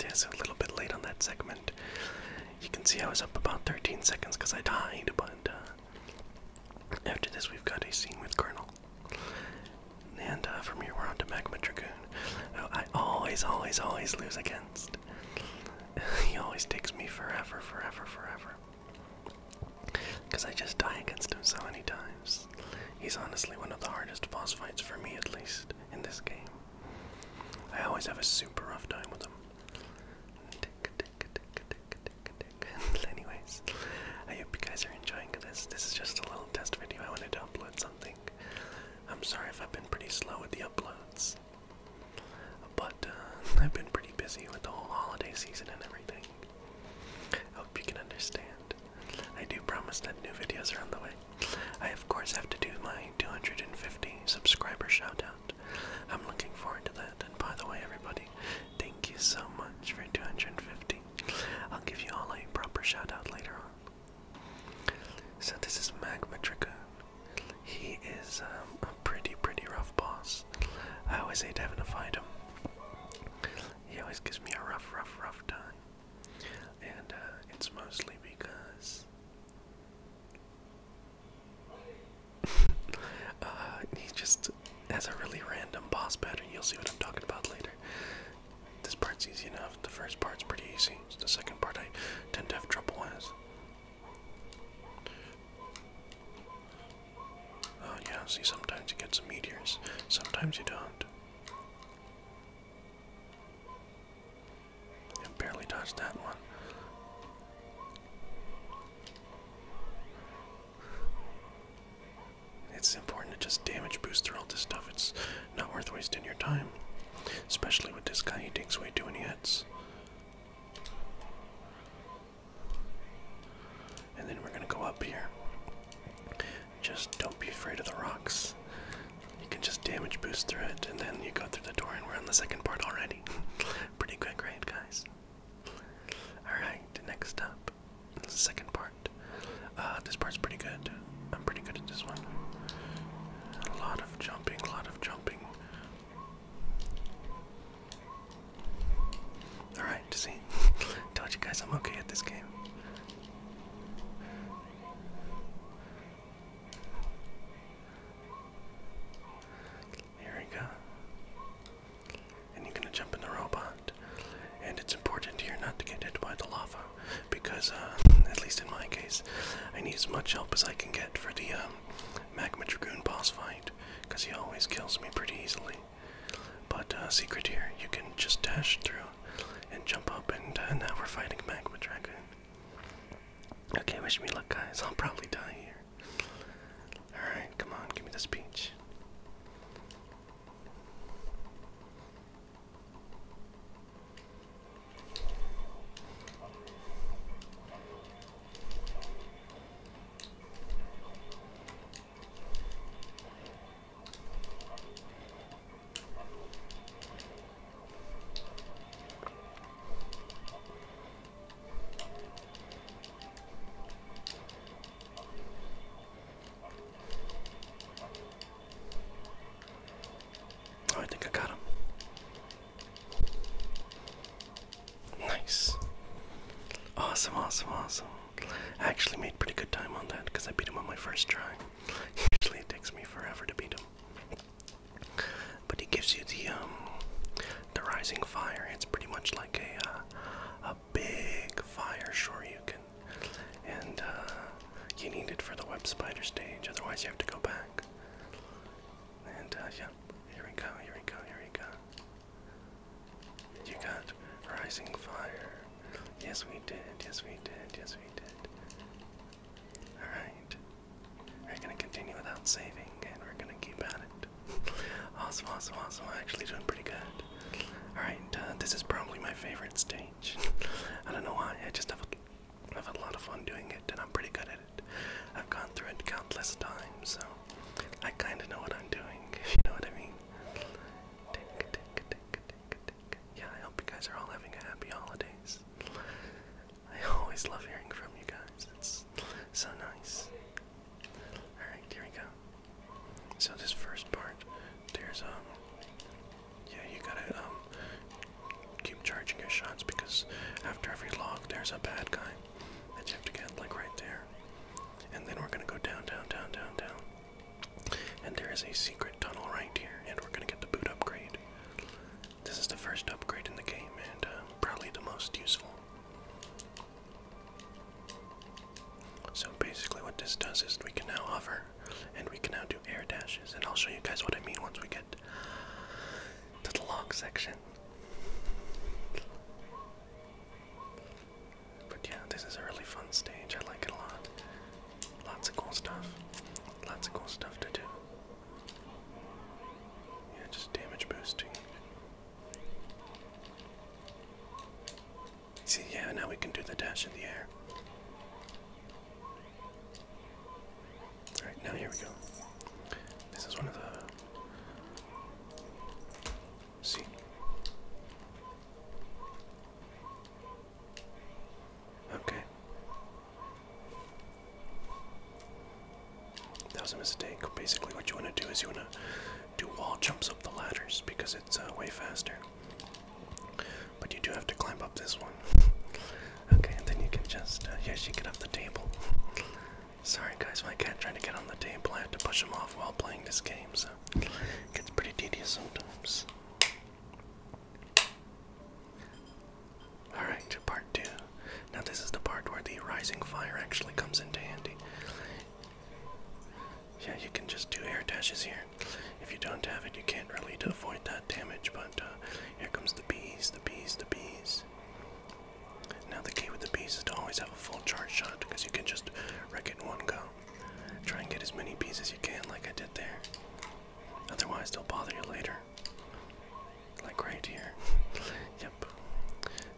Yes, a little bit late on that segment. You can see I was up about 13 seconds because I died, but uh, after this, we've got a scene with Colonel. And uh, from here, we're on to Magma Dragoon, who oh, I always, always, always lose against. he always takes me forever, forever, forever. Because I just die against him so many times. He's honestly one of the hardest boss fights for me, at least, in this game. I always have a super rough time with them. Anyways, I hope you guys are enjoying this. This is just a little test video. I wanted to upload something. I'm sorry if I've been pretty slow with the uploads, but uh, I've been pretty busy with the whole holiday season and everything. I hope you can understand. I do promise that new videos are on the way. I, of course, have to do my 250 subscriber shoutout. I'm looking forward to that. And by the way, everybody, thank you so much for 250. I'll give you all a proper shout out later on. So, this is Magma Dragoon. He is um, a pretty, pretty rough boss. I always hate having to fight him. He always gives me a rough, rough, rough time and uh, it's mostly because uh, he just has a really random boss pattern. You'll see what I'm talking about later. This part's easy enough. The first part's pretty easy. the second part I tend to have trouble with. Oh yeah, see sometimes you get some meteors, sometimes you don't barely dodged that one. It's important to just damage boost through all this stuff. It's not worth wasting your time. Especially with this guy, he takes way too many hits. And then we're gonna go up here. Just don't be afraid of the rocks. You can just damage boost through it, and then you go through the door, and we're on the second part already. Pretty quick, right, guys? Alright, next up. the second part. Uh, this part's pretty good. I'm pretty good at this one. A lot of jumping, a lot of jumping. Alright, see? Told you guys I'm okay at this game. Here we go. And you're gonna jump in the robot. And it's important here not to get hit by the lava, because uh, at least in my case, I need as much help as I can get for the um, magma dragoon boss fight, because he always kills me pretty easily. But uh, secret here, you can just dash through and jump up, and uh, now we're fighting magma dragoon. Okay, wish me luck, guys. I'll probably die here. Alright, come on, give me this peach. Oh, I think I got him. Nice. Awesome, awesome, awesome. I actually made pretty good time on that because I beat him on my first try. Usually it takes me forever to beat him. But it gives you the um, the rising fire. It's pretty much like a uh, a big fire can, and uh, you need it for the web spider stage. Otherwise, you have to go back. And uh, yeah, here we go. Here we go. Here we go. You got rising fire. Yes, we did. Yes, we did. Yes, we did. Alright. We're gonna continue without saving and we're gonna keep at it. awesome, I'm Actually doing pretty good. Alright, uh, this is probably my favorite stage. I don't know why, I just have a, lot of fun doing it and I'm pretty good at it. I've gone through it countless times, so I kinda know what I'm doing, if you know what I mean. Yeah, I hope you guys are all having a happy holidays. I always love hearing from you guys. It's so nice. Alright, here we go. So this first part, there's um yeah, you gotta um keep charging your shots because after every log there's a bad guy that you have to get like right there. And then we're gonna go down, down, down, down, down. And there is a secret tunnel right here, and we're gonna get the boot upgrade. This is the first upgrade in the game and uh, probably the most useful. So basically, what this does is we can now hover and we can now do air dashes, and I'll show you guys what I mean once we get to the log section. But yeah, this is a really fun stage. I like it a lot. Lots of cool stuff. Lots of cool stuff to do. Yeah, just damage boosting. See, yeah, now we can do the dash in the air. Alright, now here we go. This is one of the. See? Okay. That was a mistake. Basically, what you want to do is you want to do wall jumps up the ladders because it's uh, way faster. But you do have to climb up this one. okay, and then you can just, uh, yeah, she can up the table. Sorry, guys, my cat trying to get on the table. I have to push him off while playing this game, so it gets pretty tedious sometimes. Alright, to part two. Now, this is the part where the rising fire actually comes into handy. Yeah, you can just do air dashes here. If you don't have it, you can't really avoid that damage, but uh, here comes the bees, the bees, the bees. Now, the key with the bees is to always have a full charge shot because you can just wreck it in one go. Try and get as many bees as you can, like I did there. Otherwise, they'll bother you later. Like right here. yep.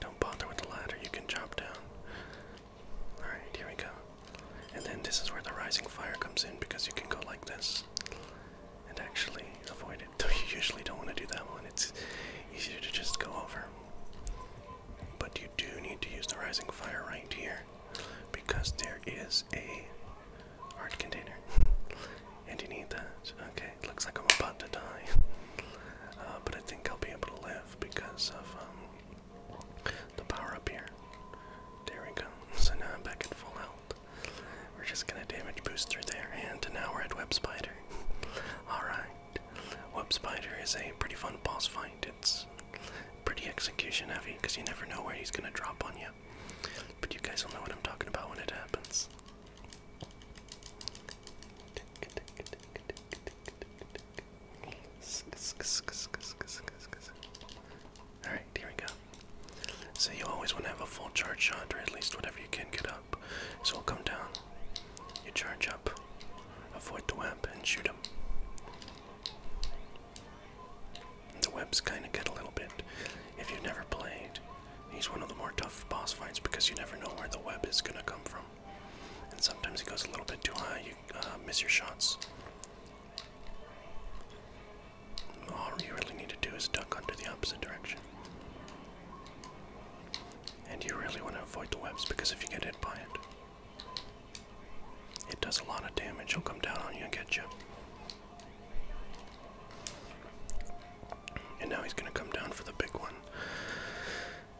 Don't bother with the ladder, you can chop down. Alright, here we go. And then this is where the rising fire comes in because you can go like this and actually avoid it. Though you usually don't want to do that one, it's easier to just go over. But you do need to use the rising fire right here because there is a Art container. and you need that. Okay, looks like I'm about to die. Uh, but I think I'll be able to live because of um, the power up here. There we go. So now I'm back at full health. We're just gonna damage boost through there, and now we're at Web Spider. Alright. Web Spider is a pretty fun boss fight. It's pretty execution heavy because you never know where he's gonna drop on you. But you guys will know what I'm talking about when it happens. Alright, here we go. So you always want to have a full charge shot, or at least whatever you can get up. So we'll come down. You charge up, avoid the web, and shoot him. The webs kind of get a little bit. If you've never played, he's one of the more tough boss fights because you never know where the web is going to come from. And sometimes it goes a little bit too high, you uh, miss your shots. All you really need to do is duck under the opposite direction. And you really want to avoid the webs because if you get hit by it, it does a lot of damage. it will come down on you and get you. And now he's going to come down for the big one.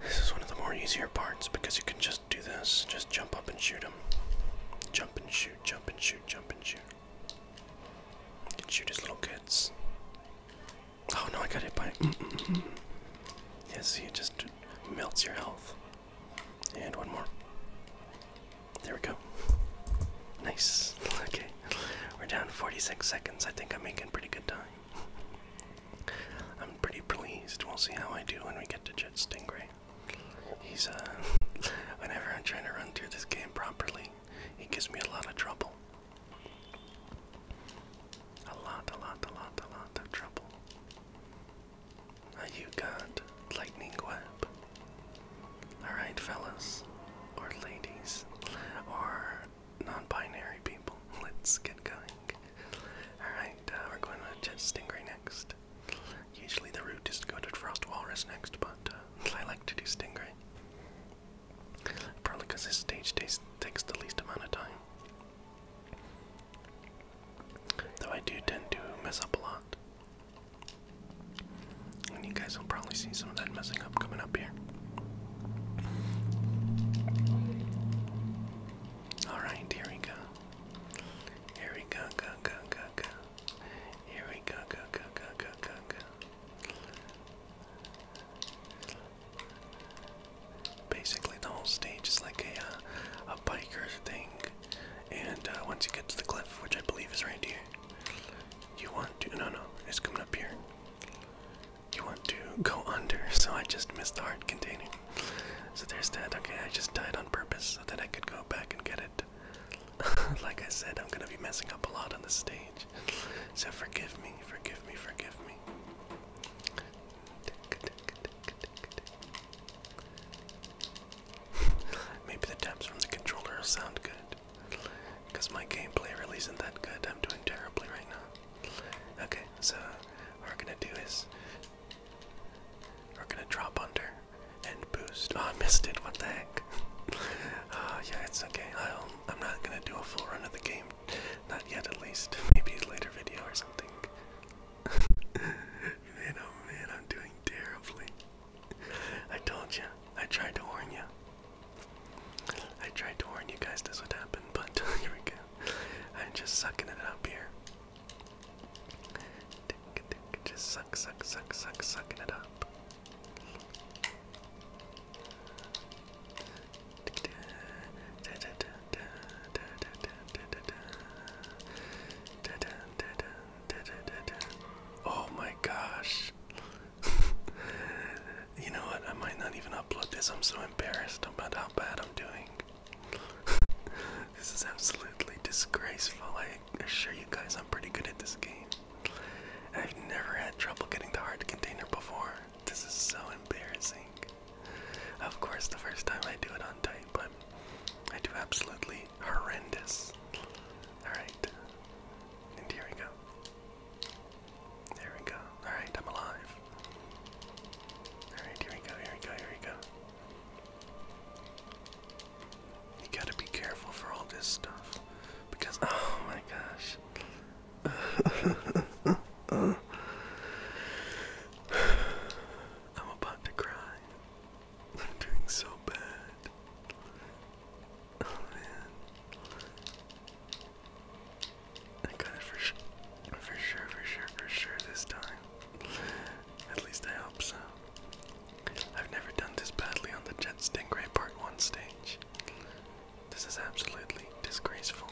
This is one of the more easier parts because you can just do this. Just jump up and shoot him. Jump and shoot, jump and shoot, jump and shoot. You can shoot his little kids. Oh no, I got hit by Mm -mm -mm. Yes, he just melts your health. And one more. There we go. Nice. Okay. We're down 46 seconds. I think I'm making pretty good time. I'm pretty pleased. We'll see how I do when we get to Jet Stingray. He's, uh, whenever I'm trying to run through this game properly, he gives me a lot of trouble. A lot, a lot, a lot, a lot of trouble. Uh, you got Lightning Web. Alright, fellas, or ladies, or non binary people, let's get going. Alright, uh, we're going with Jet Stingray next. Usually the route is to go to Walrus next, but uh, I like to do Stingray. Probably because this stage takes the least amount of time. Though I do tend to mess up a lot. And you guys will probably see some of that messing up coming up here. Alright, here we go. Here we go, go, go, go, go. Here we go, go, go, go, go, go, Basically, the whole stage is like a uh, a biker thing, and uh, once you get to the cliff, which I believe is right here, you want to no no, it's coming up here. You want to go under, so I just missed the heart container. So there's that. Okay, I just died on purpose so that I could go back and get it. like I said, I'm gonna be messing up a lot on the stage. So forgive me, forgive me, forgive me. Maybe the taps from the controller sound good. Because my gameplay really isn't that good. I'm doing terribly right now. Okay, so what we're gonna do is we're gonna drop under and boost. Oh, I missed it. What the heck? uh, yeah, it's okay. I'll, I'm not gonna do a full run of the game. Not yet, at least. Maybe a later video or something. man, oh man, I'm doing terribly. I told you. I tried to warn you. I tried to warn you guys this would happen, but here we go. I'm just sucking it up here. Just suck, suck, suck, suck, sucking it up. Oh my gosh. you know what? I might not even upload this. I'm so embarrassed about how bad I'm doing. this is absolutely disgraceful. I assure you guys, I'm pretty good at this game. I've never had trouble getting the hard container before. This is so embarrassing. Of course, the first time I do it on type, but I do absolutely horrendous. Alright. And here we go. There we go. Alright, I'm alive. Alright, here we go, here we go, here we go. You gotta be careful for all this stuff. Because, oh my gosh. I'm about to cry. I'm doing so bad. Oh man. I got it for sure. For sure, for sure, for sure this time. At least I hope so. I've never done this badly on the Jet Stingray Part 1 stage. This is absolutely disgraceful,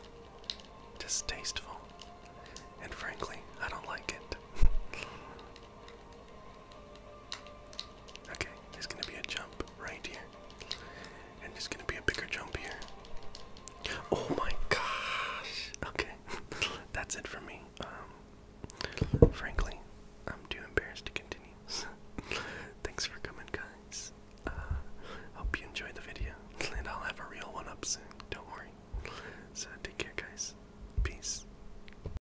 distasteful, and frankly, I don't like it. Okay, there's gonna be a jump right here. And there's gonna be a bigger jump here. Oh my gosh! Okay, that's it for me. Um, frankly, I'm too embarrassed to continue. Thanks for coming, guys. Uh, hope you enjoyed the video, and I'll have a real one up soon. Don't worry. So take care, guys. Peace.